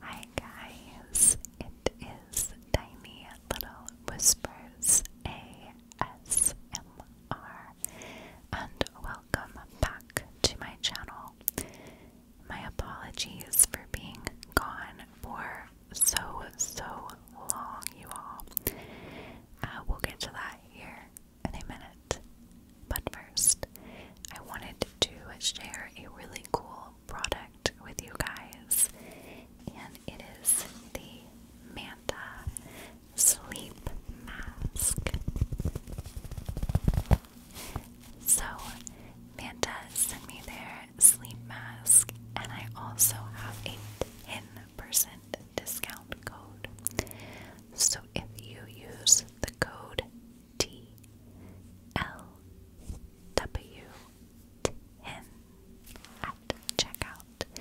Hi guys, it is Tiny Little Whispers ASMR and welcome back to my channel. My apologies for being gone for so, so long, you all. Uh, will get to that here in a minute. But first, I wanted to share a really cool product with you guys, and it is the Manta Sleep Mask. So, Manta sent me their sleep mask, and I also have a 10% discount code. So, if you use the code T L W 10 at checkout.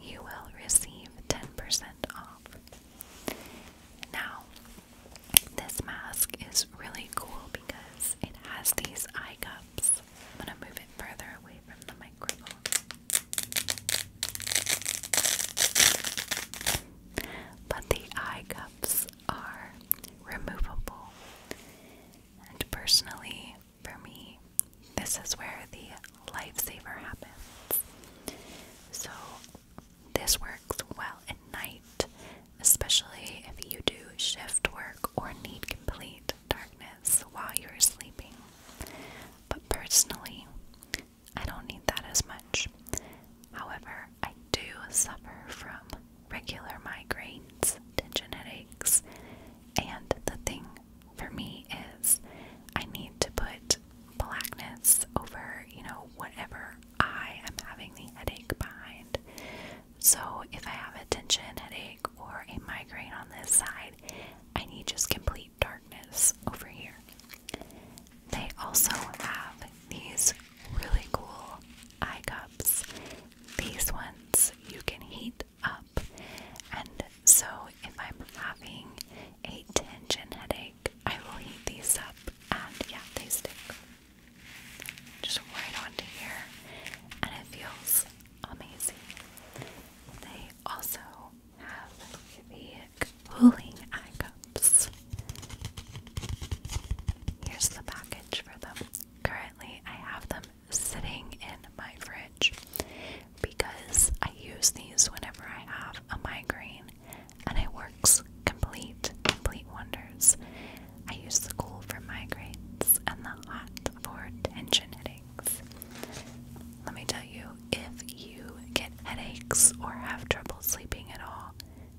You will receive 10% off. Now, this mask is really cool because it has these eye cups. I'm going to move it further away from the microphone. But the eye cups are removable. And personally, for me, this is where the lifesaver happens. So, this works well at night, especially if you do shift work or need complete darkness while you're sleeping. But personally, I don't need that as much. However, I do suffer from regular migraines, tension headaches, and the thing for me is I need to put blackness over, you know, whatever I am having the headache behind. So if I have a tension headache or a migraine on this side, I need just complete darkness over here. They also have these really cool eye cups. These ones you can heat up, and so if I'm having a tension headache, I will heat these up, and yeah, they stick just right onto here, and it feels amazing. They also have the cooling eye cups, Here's the package for them. Currently, I have them sitting in my fridge because I use these whenever I have a migraine and it works complete, complete wonders. I use the cool for migraines and the hot for tension headaches. Let me tell you, if you get headaches or have trouble sleeping at all,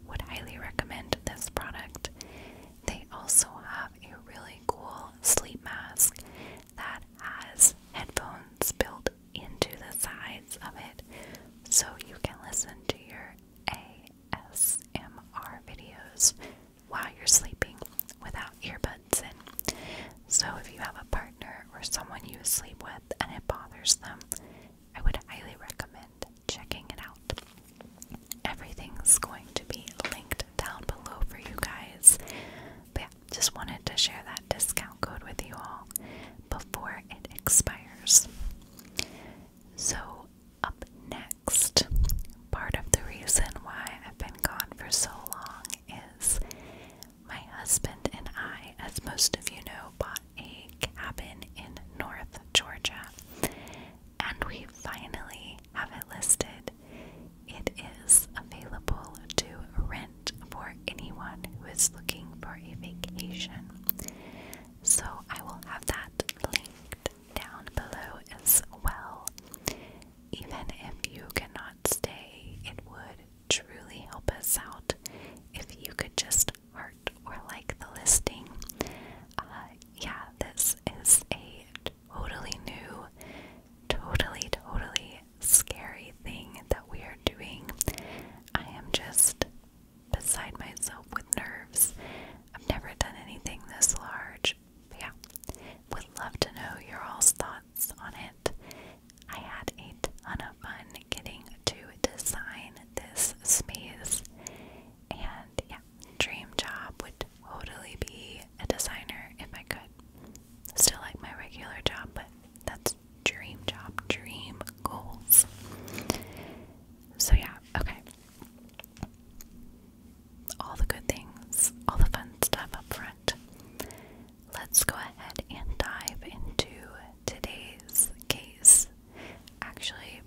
would highly recommend this product. They also have a really cool sleep mask that has headphones built into the sides of it so you can listen to your ASMR videos while you're sleeping without earbuds in. So, if you have a partner or someone you sleep with and it bothers them, I would highly recommend checking it out. Everything's going to be linked down below for you guys. But yeah, just wanted to share that discount code with you all before it expires. So, up next, part of the reason why I've been gone for so long is my husband and I, as most of you know, bought a cabin in North Georgia. And we finally have it listed. It is available to rent for anyone who is looking for a vacation. So I will have that linked down below as well. Even if you cannot stay, it would truly help us out if you could just or like the listing. Uh, yeah, this is a totally new, totally, totally scary thing that we are doing. I am just beside myself with nerves. I've never done anything this large. But yeah, would love to know your all's thoughts on it. I had a ton of fun getting to design this space. And yeah, dream job would totally be a designer if I could. Still like my regular job, but that's dream job, dream goals. So yeah, okay. All the good things, all the fun stuff up front. Let's go ahead and dive into today's case. Actually,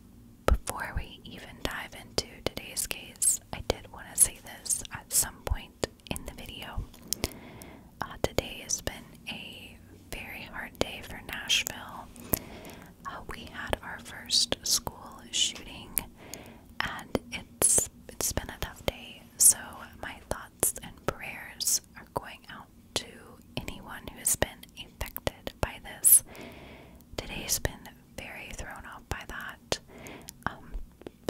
before we even dive into today's case, I did want to say this at some point in the video. Uh, today has been a very hard day for Nashville. Uh, we had our first school shooting, and it's it's been a tough day. So my thoughts and prayers are going out to anyone who has been affected by this. Today's been very thrown off by that. Um,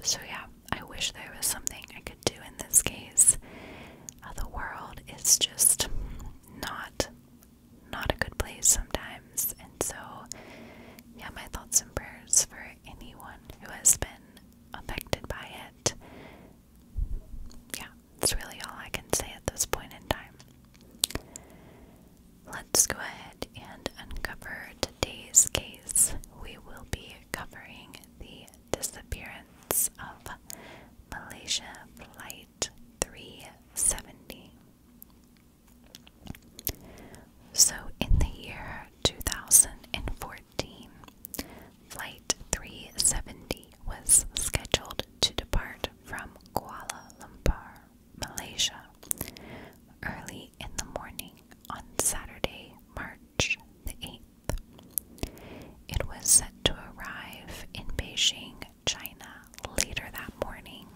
so, yeah, I wish there was something I could do in this case. Uh, the world is just not not a good place sometimes and so yeah my thoughts and prayers for anyone who has been affected by it yeah that's really all I can say at this point in time. Let's go ahead and uncover today's case. We will be covering the disappearance of Malaysia Flight 370. So, in the year 2014, Flight 370 was scheduled to depart from Kuala Lumpur, Malaysia, early in the morning on Saturday, March 8th. It was set to arrive in Beijing, China, later that morning.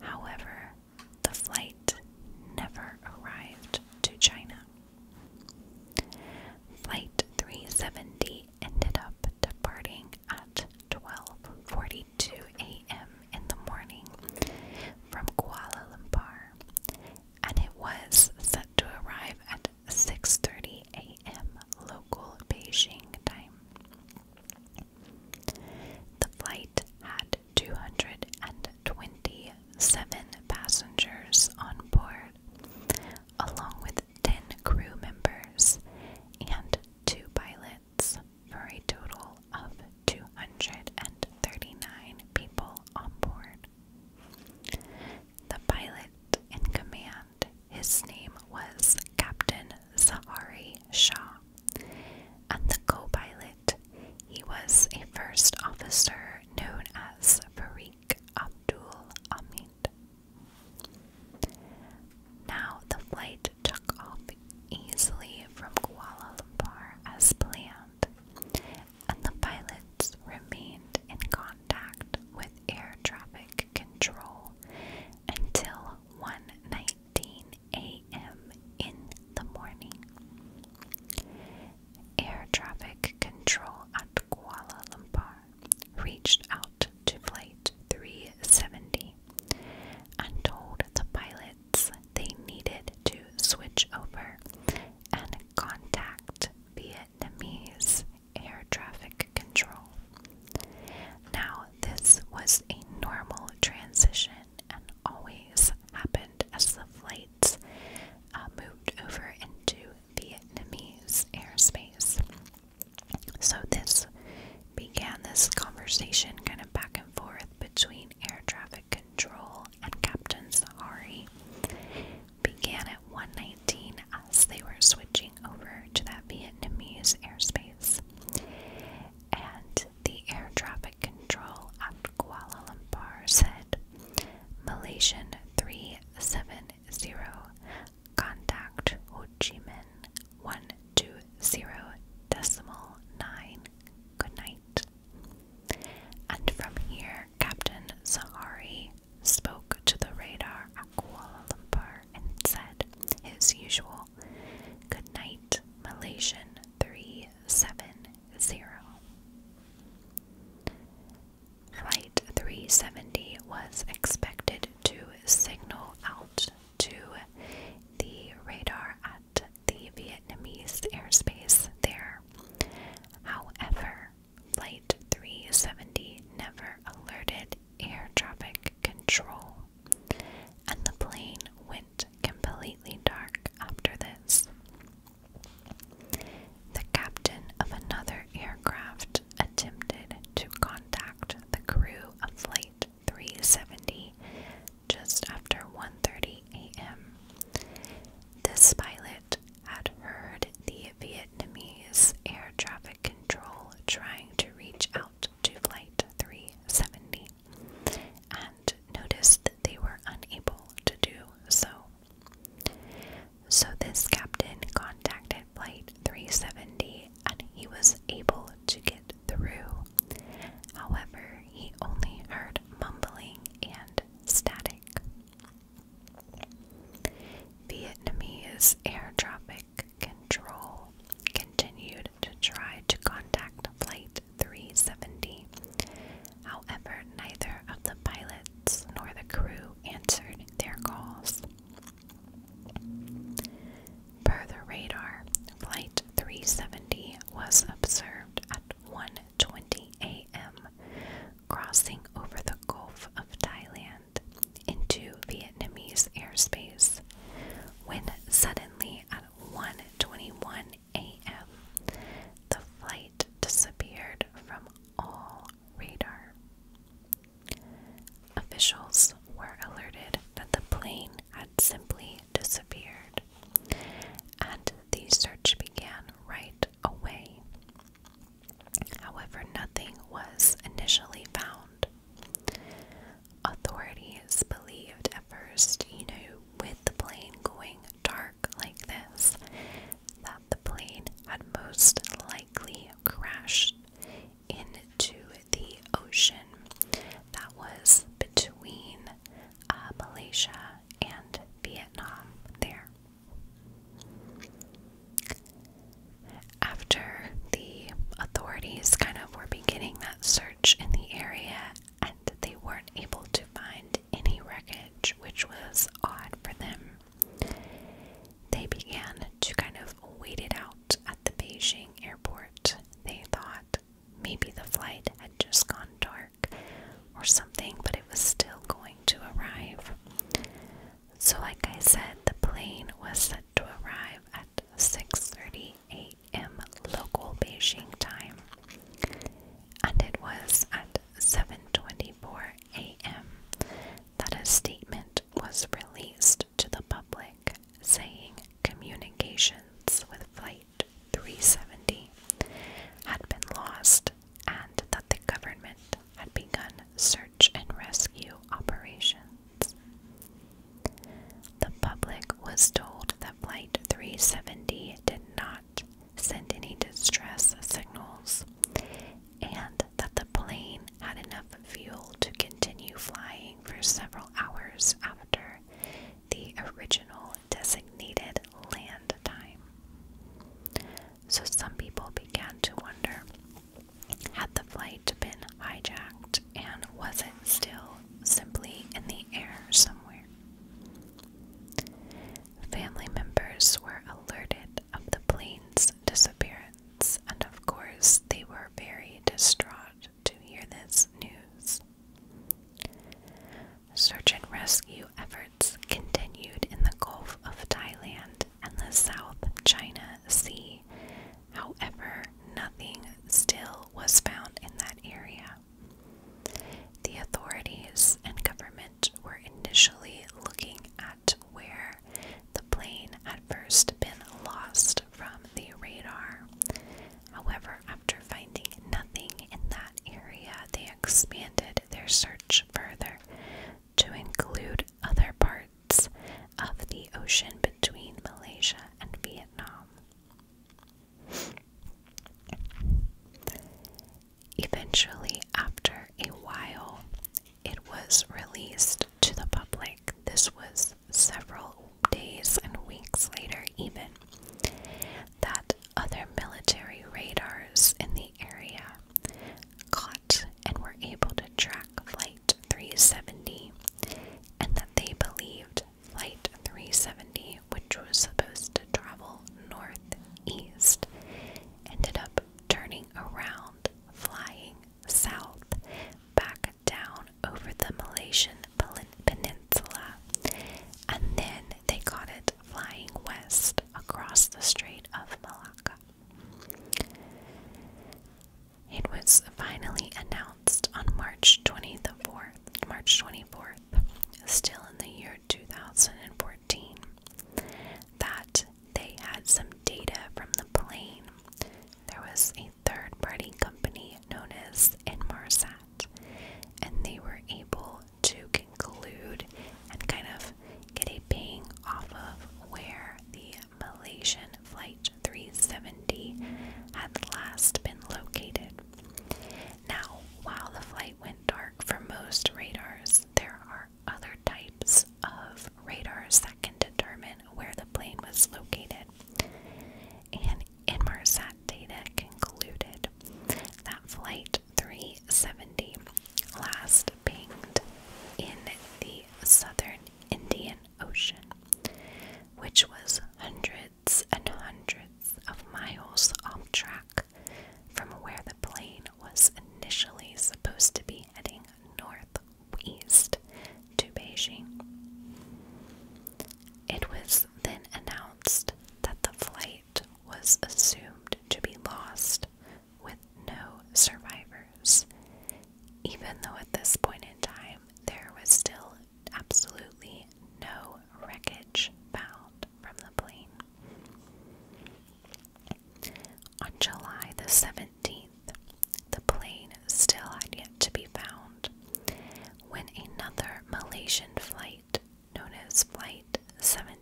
However, the flight never arrived to China. Flight 370 ended up departing at 12:42 a.m. in the morning from Kuala Lumpur, and it was set to arrive at 6:30 a.m. local Beijing time. The flight had 227 passengers on board, along with 10 crew members and two pilots for a total of 239 people on board. The pilot in command, his name was Captain Zahari Shah, and the co pilot, he was a first officer known as Farik Abdul Ahmed. Now the flight took off easily from Kuala Lumpur as planned, and the pilots remained in contact with air traffic control until 1:19 a.m. in the morning. Air traffic control at Kuala Lumpur reached out to Flight 370 and told the pilots they needed to switch over and contact Vietnamese air traffic control. Now, this was a normal transition and always happened as the flights uh, moved over into Vietnamese airspace. So this began this conversation kind of back and forth between air traffic control and Captain Sahari. Began at 119 as they were switching over to that Vietnamese airspace. And the air traffic control at Kuala Lumpur said Malaysian 370 zero contact Ho Chi Minh one two zero decimal nine. Good night. And from here, Captain Sahari spoke to the radar at Kuala and said his usual good night, Malaysian 370. Flight 370 was expected to signal out to the radar at the Vietnamese airspace there. However, Flight 370 never alerted air traffic control, and the plane went completely dark after this. The captain of another aircraft attempted to contact the crew of Flight 370 just after 1:30 a.m. This pilot had heard the Vietnamese air traffic control trying to reach out to Flight 370 and noticed that they were unable to do so. So, this captain contacted Flight 370 and he was able to get through. However, he only heard mumbling and static. Vietnamese air traffic control continued to try to contact Flight 370. However, neither of the pilots nor the crew answered their calls. Per the radar, Flight 370 was observed at 1:20 a.m. crossing over the Gulf of Thailand into Vietnamese airspace when suddenly at 1:21 a.m. the flight disappeared from all radar. Officials were alerted that the plane had simply disappeared, and the search began right away. However, nothing was initially found. Authorities believed at first, you know, with the plane going dark like this, that the plane had most likely crashed into the ocean that was between uh, Malaysia and Vietnam there. After the authorities kind of were beginning that search in the area and they weren't able to find any wreckage, which was odd for them, they began to kind of wait it out at the Beijing airport, they thought maybe the flight had just gone dark or something, but it was still going to arrive. So, like I said, the plane was set to arrive at 6:30 a.m. local Beijing time, and it was at 7:24 a.m. that a statement was released to the public, saying communications with Flight 370 had been lost and that the government had begun search and rescue operations. The public was told that Flight 370 did not send any distress signals and that the plane had enough fuel to continue flying for several hours after the original designated land time. So some people began to wonder had the flight been hijacked and was it still simply in the air somewhere? Family members were alerted of the plane's disappearance and of course, they were very distraught to hear this news. Search and rescue efforts continued in the Gulf of Thailand and the South China Sea. However, nothing still was found in that area. The authorities and government were initially looking at where the plane had first been lost from the radar. However, after finding nothing in that area, they expanded their search further to include other parts of the ocean between Malaysia and Vietnam. Eventually, after a while, it was released to the public. This was several days and weeks later, even, that other military radars in the area caught and were able to track Flight 370, and that they believed Flight 370, which was supposed to travel northeast, ended up turning around, flying south back down over the Malaysian Peninsula, and then they caught it flying west across the Strait of Malacca. It was finally announced on March 24th, March 24th, still in the year 2014, that they had some data from the plane there was a third party company known as Enmarsat, and they were able to conclude and kind of get a ping off of where the Malaysian Flight 370 had last been located. Now, while the flight went dark for most radars, there are other types of radars that can determine where the plane was located. And Inmarsat data concluded that Flight 370 last pinged in the southern Indian Ocean, which was hundreds and hundreds of miles off track from where the plane was initially supposed to be heading north east to Beijing. It was then announced that the flight was assumed to be lost with no survivors, even though at this point in time there was still absolutely no wreckage found from the plane. On July the 17th, 17th, the plane still had yet to be found when another Malaysian flight, known as Flight 17,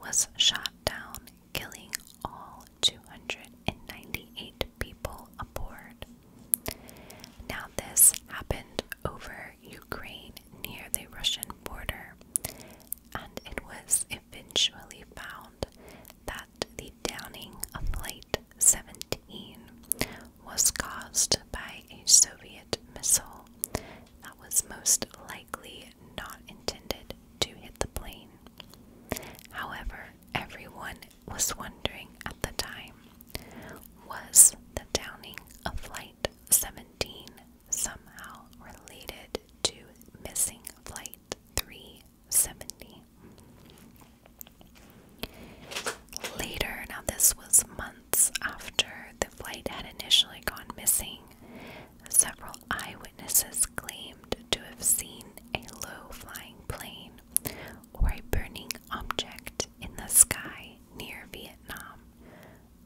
was shot down, killing all 298 people aboard. Now, this happened over Ukraine near the Russian border, and it was eventually found that the downing of flight 17 was caused by a Soviet missile that was most likely not intended to hit the plane. However, everyone was wondering at the time was the downing of Flight 17 somehow related to missing Flight 3 70. Later, now this was months after the flight had initially gone missing, several eyewitnesses claimed to have seen a low flying plane or a burning object in the sky near Vietnam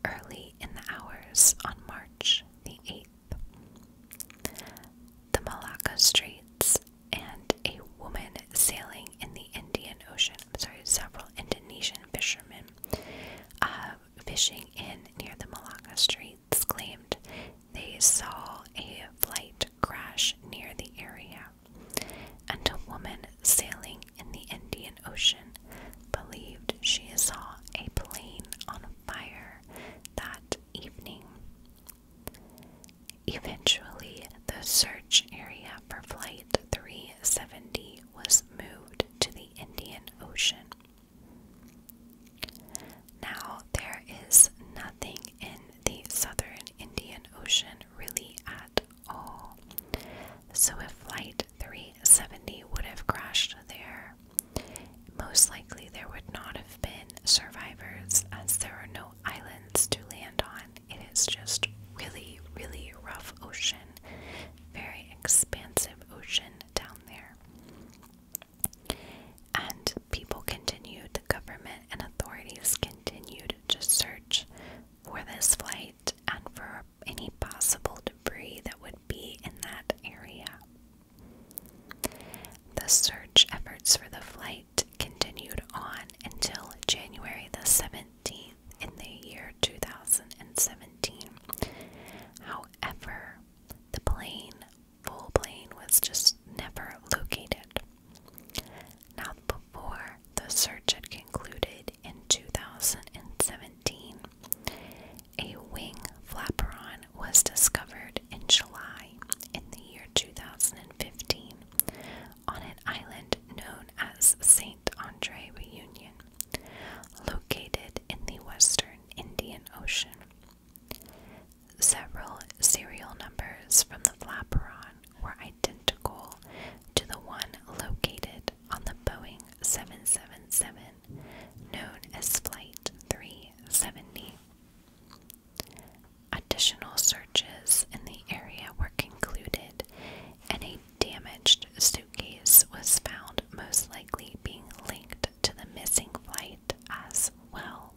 early in the hours on March the 8th. The Malacca Straits and a woman sailing in the Indian Ocean. sorry, several Indonesian fishermen uh, fishing in near the Malacca Straits claimed they saw a flight crash near the area, and a woman sailing in the Indian Ocean believed she saw a plane on fire that evening. Eventually, the search area for Flight 370 was moved to the Indian Ocean. Now, there is nothing in the southern Indian Ocean really at all. So, if Flight 370 would have crashed there, most likely, there would not have been survivors as there are no islands to land on. It is just really, really rough ocean, very expansive ocean down there. And people continued, the government and authorities continued to search for this flight and for any possible debris that would be in that area. The search efforts for the flight continued on until January the 17th in the year 2017. However, the plane, full plane, was just never located. Now, before the search had concluded in 2017, a wing flapperon was discovered in July in the year 2015 on an island known as St. Andre Reunion, located in the western Indian Ocean. Several serial numbers from the Flaperon were identical to the one located on the Boeing 777, known as Flight 370. Additional searches in the area were concluded, and a damaged suitcase was found, most likely being linked to the missing flight as well.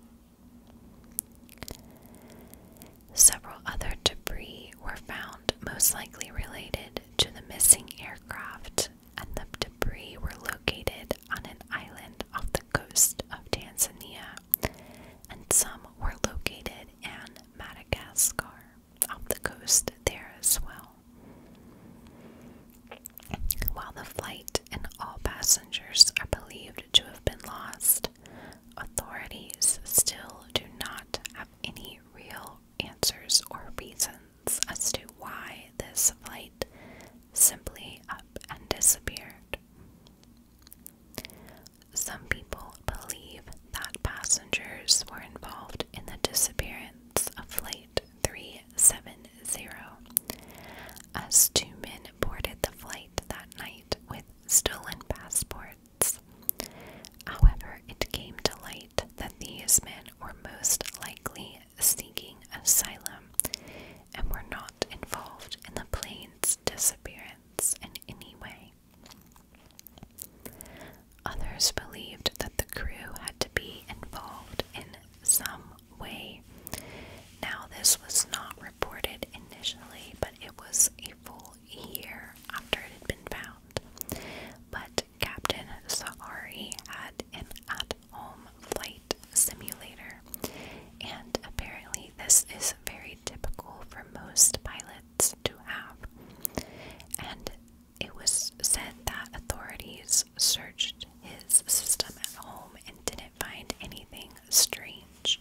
Several other debris were found, most likely related to the missing aircraft, and the debris were located on an island off the coast of Tanzania and some were located in Madagascar, off the coast there as well. While the flight and all passengers are believed to have been lost, authorities still do not have any real answers or reasons as to why this flight simply up and disappeared. Some people believe that passengers were involved in the disappearance of Flight 370, as two men boarded the flight that night with stolen passports. However, it came to light that these men were most likely seeking asylum and were not involved in the plane's disappearance in any way. Others believed that the crew had to be involved in some way. Now, this was not reported initially, but it was a full year after it had been found. But Captain Sahari had an at home flight simulator. And apparently, this is very typical for most pilots to have. And it was said that authorities searched his system at home and didn't find anything strange.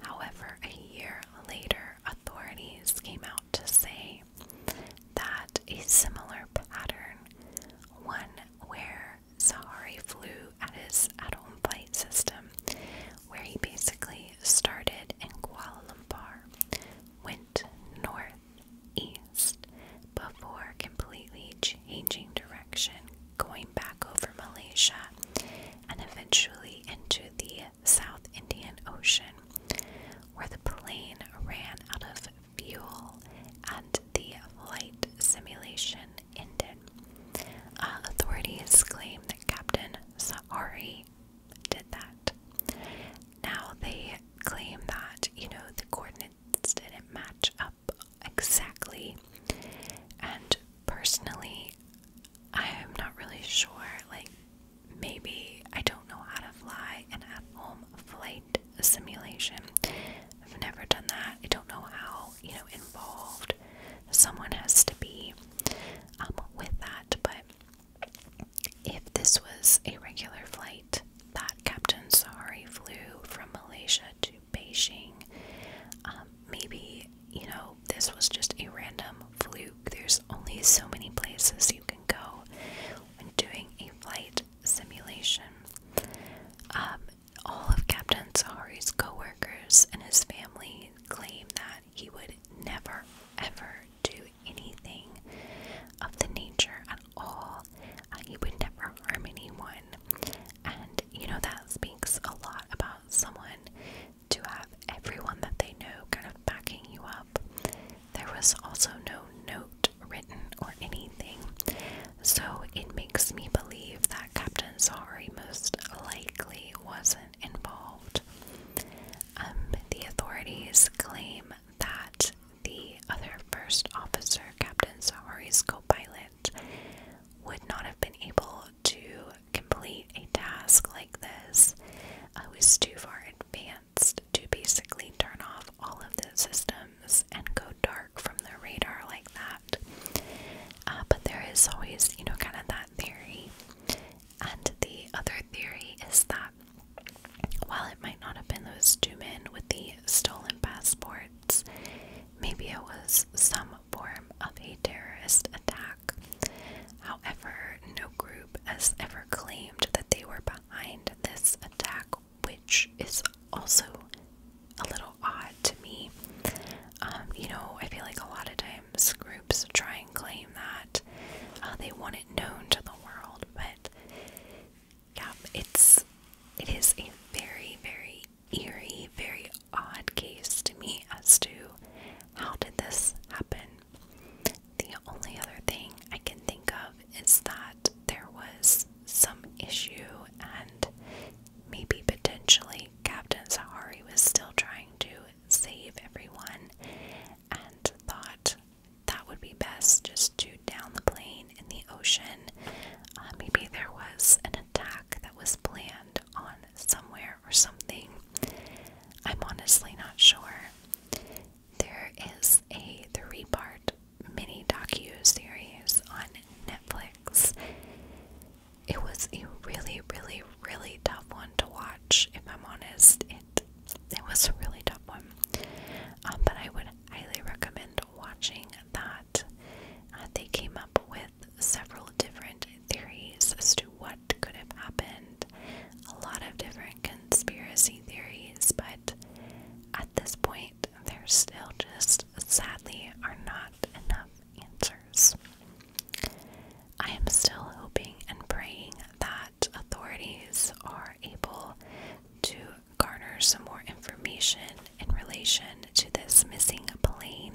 However, a year later, authorities came out to say that a similar pattern, one where Sahari flew at his at home flight system, where he basically started in Kuala Lumpur, went north east before completely changing direction, going back over Malaysia and eventually into the South Indian Ocean, where the plane ran out of fuel and the flight simulation ended. Uh, authorities claim that Captain Saari did that. Now they claim that, you know, the coordinates didn't match up exactly. And personally, I am not really sure. Like, maybe I don't know how to fly an at home flight simulation. I've never done that. I don't know how, you know, involved someone has to be um, with that, but if this was a regular flight that Captain Sahari flew from Malaysia to Beijing, um, maybe, you know, this was just a random fluke. There's only so many places you can go when doing a flight simulation. Um, all of Captain Sahari's coworkers and his family claim that he would never ever do anything of the nature at all. he would never harm anyone. And you know that speaks a lot about someone to have everyone that they know kind of backing you up. There was also no note written or anything. So it makes me believe that Captain Sari most likely wasn't involved. Um, the authorities claim that the other first officer, Captain Sahari's co pilot, would not have been able to complete a task like this. I was too far advanced to basically turn off all of the system and go dark from the radar like that. Uh, but there is always, you know, kind of that theory. And the other theory is that while it might not have been those two men with the stolen passports, maybe it was some form of a terrorist attack. However, no group has ever claimed that they were behind this attack, which is also a little odd to me. Um, you know, I feel like a lot of times groups try and claim that uh, they want it known to the world, but yeah, it's it is a very, very eerie, very odd case to me as to how did this happen. The only other thing I can think of is that there was some issue and Maybe potentially Captain Sahari was still trying to save everyone and thought that would be best just to down the plane in the ocean. Uh, maybe there was an attack that was planned on somewhere or something. I'm honestly not sure. There is a three part mini docu series on Netflix. It was a really, really, really tough one to watch, if I'm honest. It it was a really tough one. Um, but I would highly recommend watching that. Uh, they came up with several different theories as to what could have happened. A lot of different conspiracy theories, but at this point, they're still just sadly are not enough answers. I am still hoping and praying that authorities are able to garner some more information in relation to this missing plane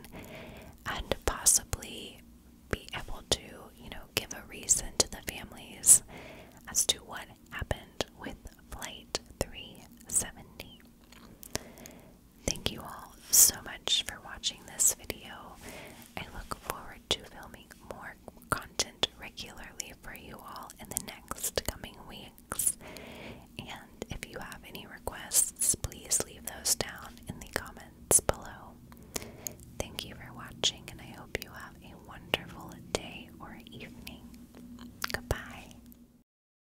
and possibly be able to, you know, give a reason to the families as to what happened with Flight 370. Thank you all so much for watching this video. I look forward to filming more content regularly for you all in the next coming weeks. And if you have any requests, please leave those down in the comments below. Thank you for watching, and I hope you have a wonderful day or evening. Goodbye.